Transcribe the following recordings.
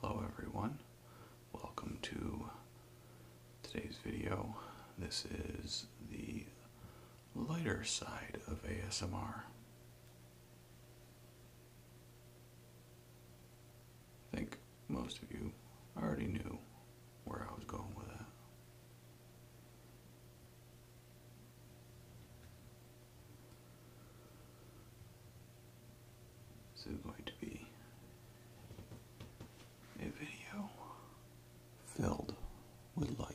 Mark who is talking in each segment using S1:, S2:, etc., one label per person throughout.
S1: Hello everyone, welcome to today's video. This is the lighter side of ASMR. I think most of you already knew where I was going with that. This going to be a video filled with light.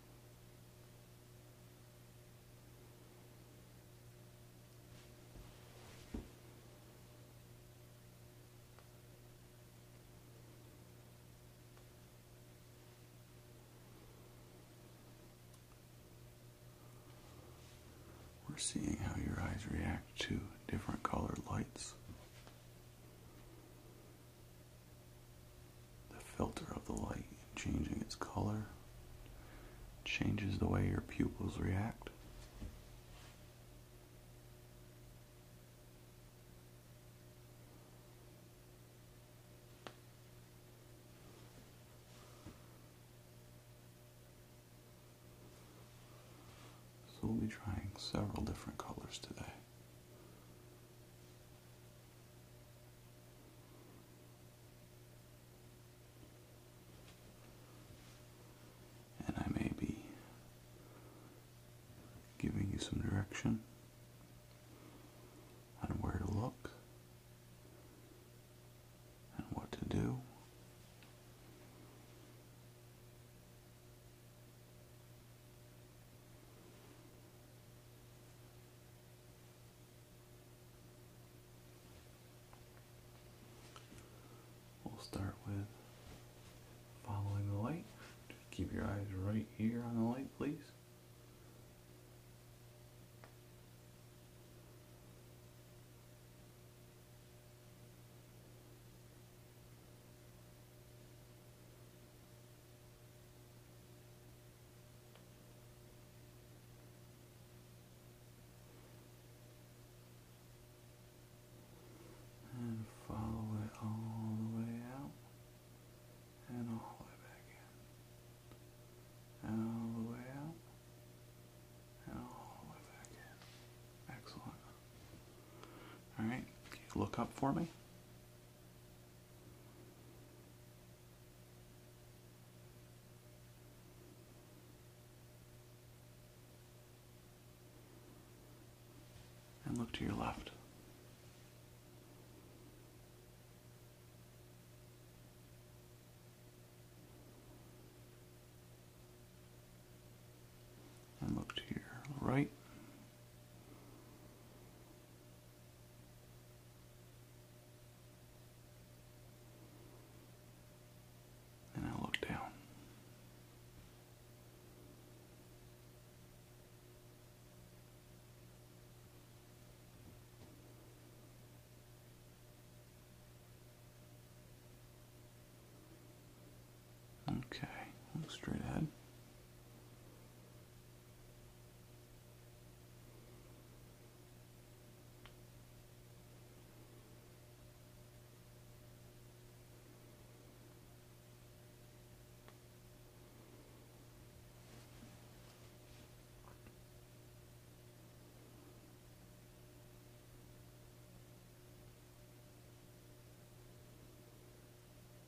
S1: We're seeing how your eyes react to different colored lights the filter of the light and changing its color changes the way your pupils react. So we'll be trying several different colors today. And I may be giving you some direction on where to look and what to do. We'll start with following the light. keep your eyes right here on the light, please. And follow it all the way out and all the way back in. all the way out and all the way back in. Excellent. Alright, look up for me. And look to your left. And look to your right. And I look down. Okay, straight ahead.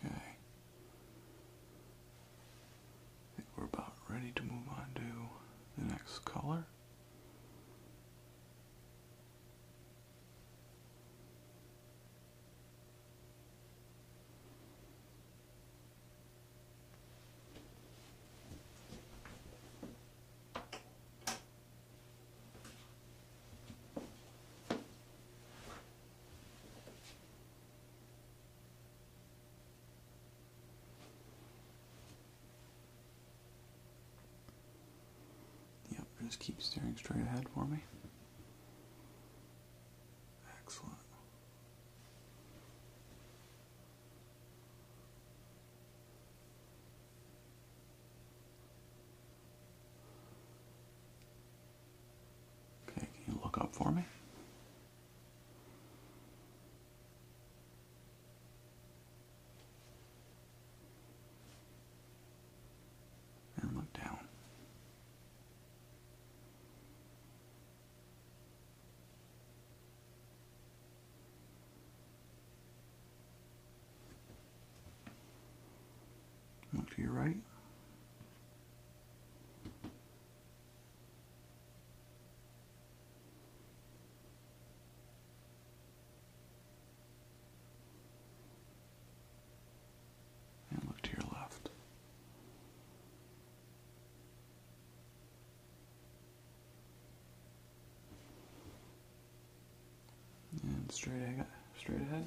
S1: Okay. I think we're about ready to move on to the next color. Yep, just keep staring straight ahead for me. Excellent. Okay, can you look up for me? And look down. Look to your right. And look to your left. And straight ahead, straight ahead.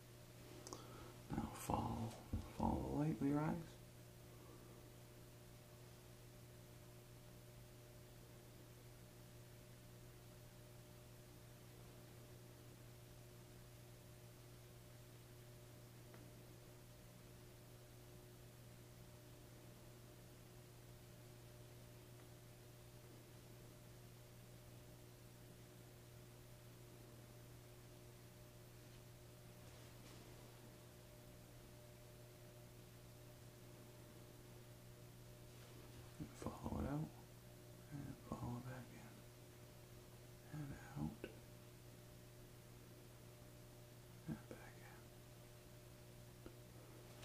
S1: Now fall, fall lightly rise. And follow it out and follow back in and out and back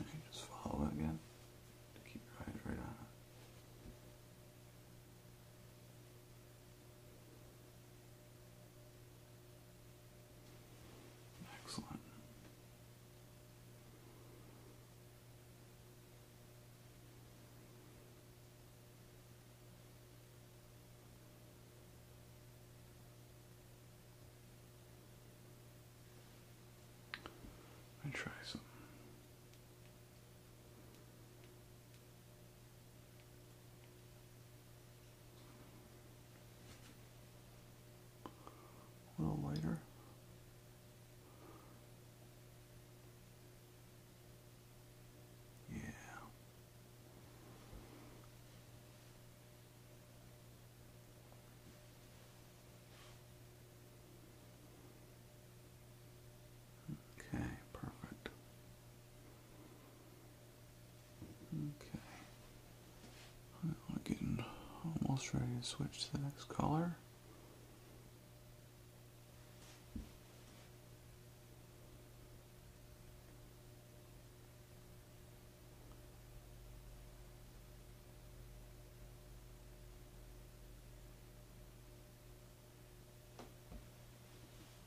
S1: in. Okay, just follow it again to keep your eyes right on it. Excellent. I try some a little lighter. Yeah. Okay, perfect. Okay. I'm getting almost ready to switch to the next color.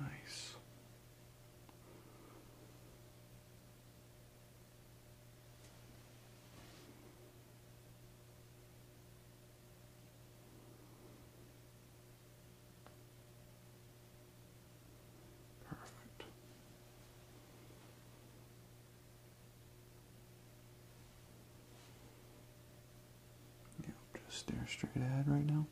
S1: Nice. Perfect. Yeah, just stare straight ahead right now.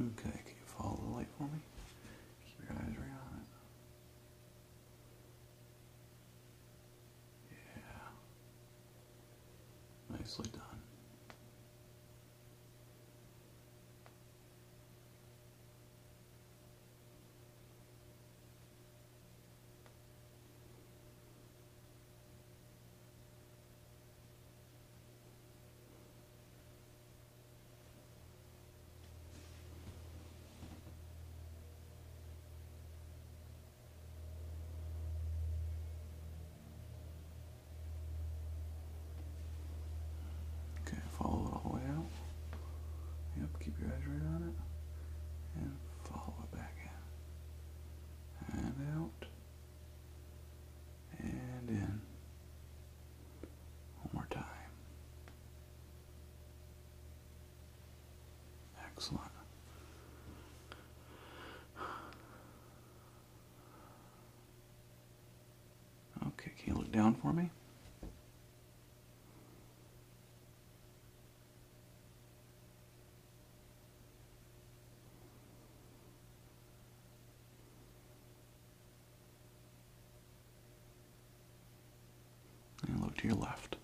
S1: Okay, can you follow the light for me? Keep your eyes right on it. Yeah. Nicely done. Okay, follow it all the way out. Yep, keep your eyes right on it. And follow it back in. And out. And in. One more time. Excellent. Okay, can you look down for me? And look to your left.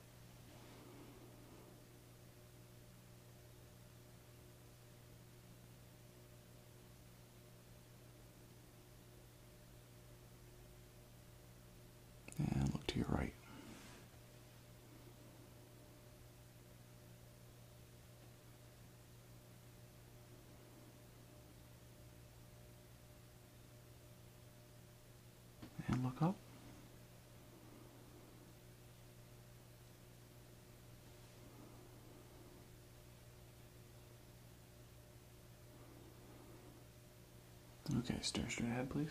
S1: And look to your right. And look up. Okay, stare straight ahead, please.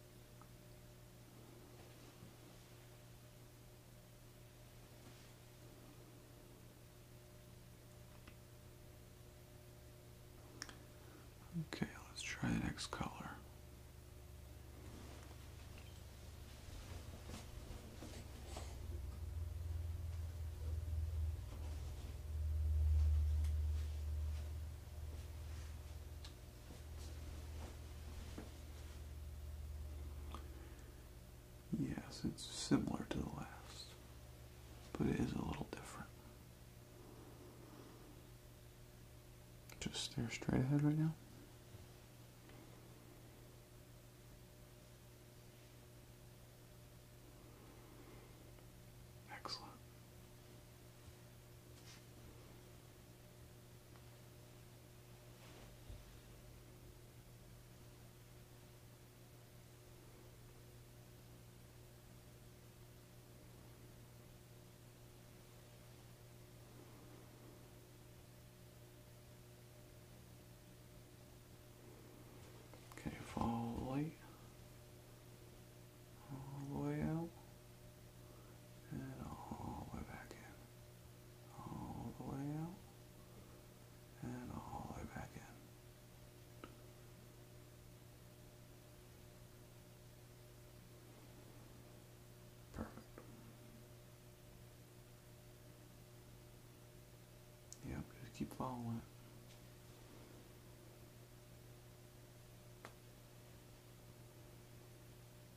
S1: Okay, let's try the next color. Yes, it's similar to the last, but it is a little different. Just stare straight ahead right now. Excellent. Okay, follow the light all the way out and all the way back in all the way out and all the way back in. Perfect. Yep, just keep following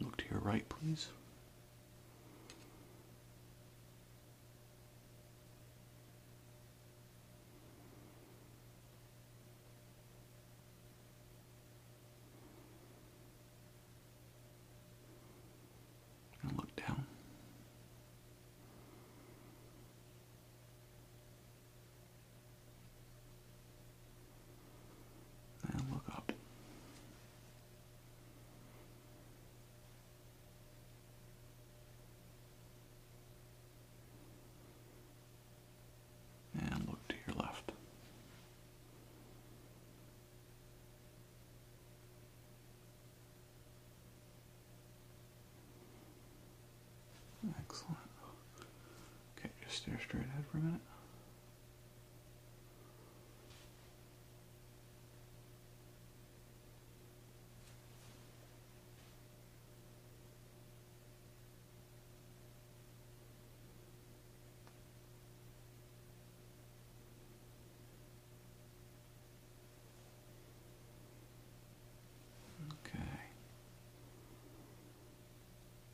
S1: Look to your right, please. And look down. Now look up. And look to your left. Excellent. Okay, just stare straight ahead for a minute. Okay.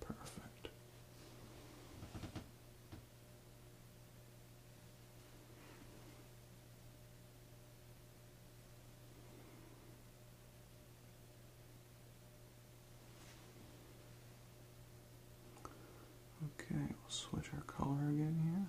S1: Perfect. Okay, we'll switch our color again here.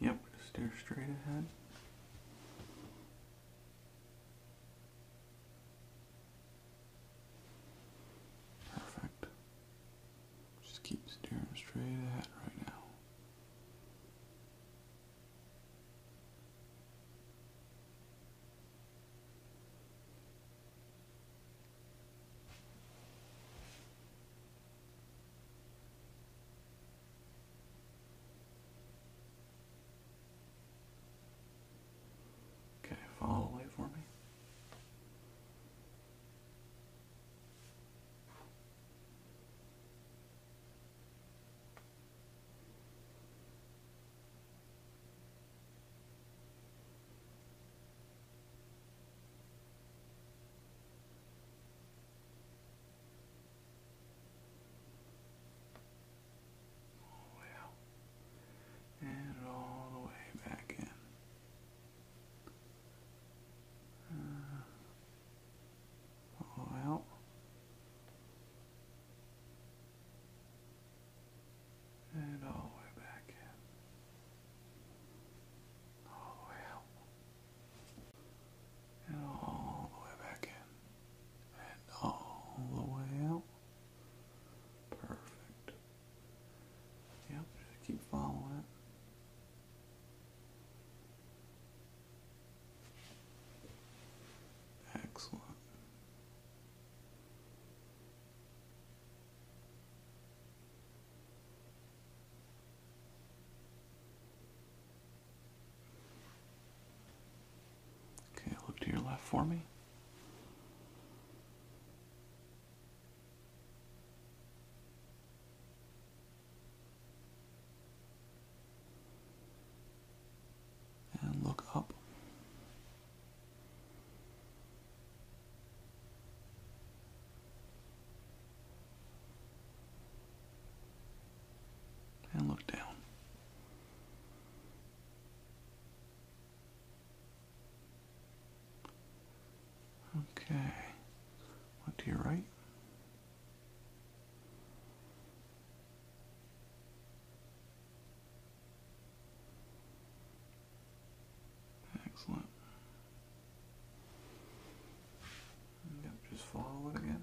S1: Yep, stare straight ahead. Perfect. Just keep staring straight ahead right now. Okay, follow away for me well, and all the way back in. Uh, all out. And all the way back in. All the way out. And all the way back in. And all the way out. Perfect. Yep, keep following Excellent. Okay, look to your left for me. And look up. And look down. Okay. Look to your right. Excellent. just follow it again.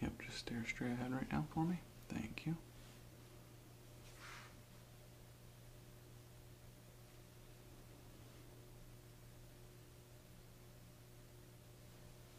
S1: Yep, just stare straight ahead right now for me. Thank you.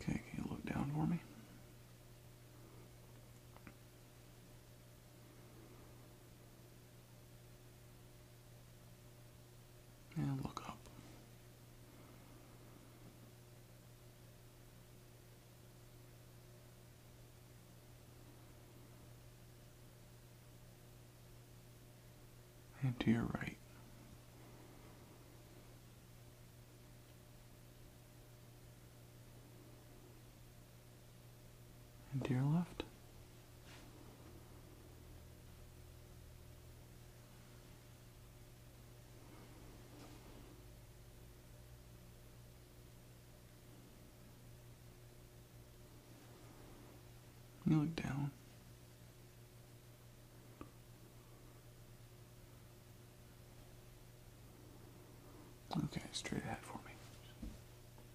S1: Okay, can you look down for me? And look up. And to your right and to your left. You look down. Okay, straight ahead for me.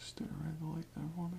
S1: Stay right the light there, for me.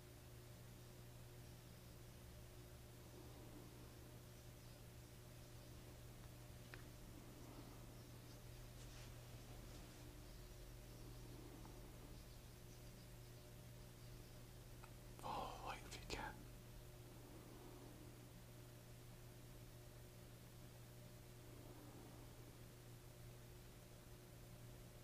S1: Follow oh, light if you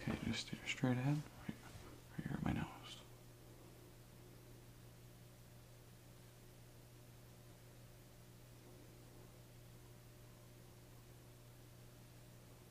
S1: Okay, just steer straight ahead, right here at my nose.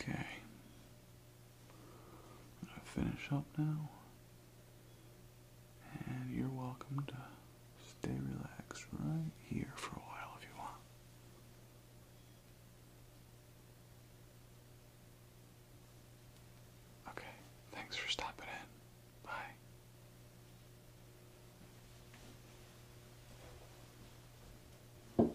S1: Okay. I finish up now. And you're welcome to stay relaxed right here for a while if you want. Okay, thanks for stopping in. Bye.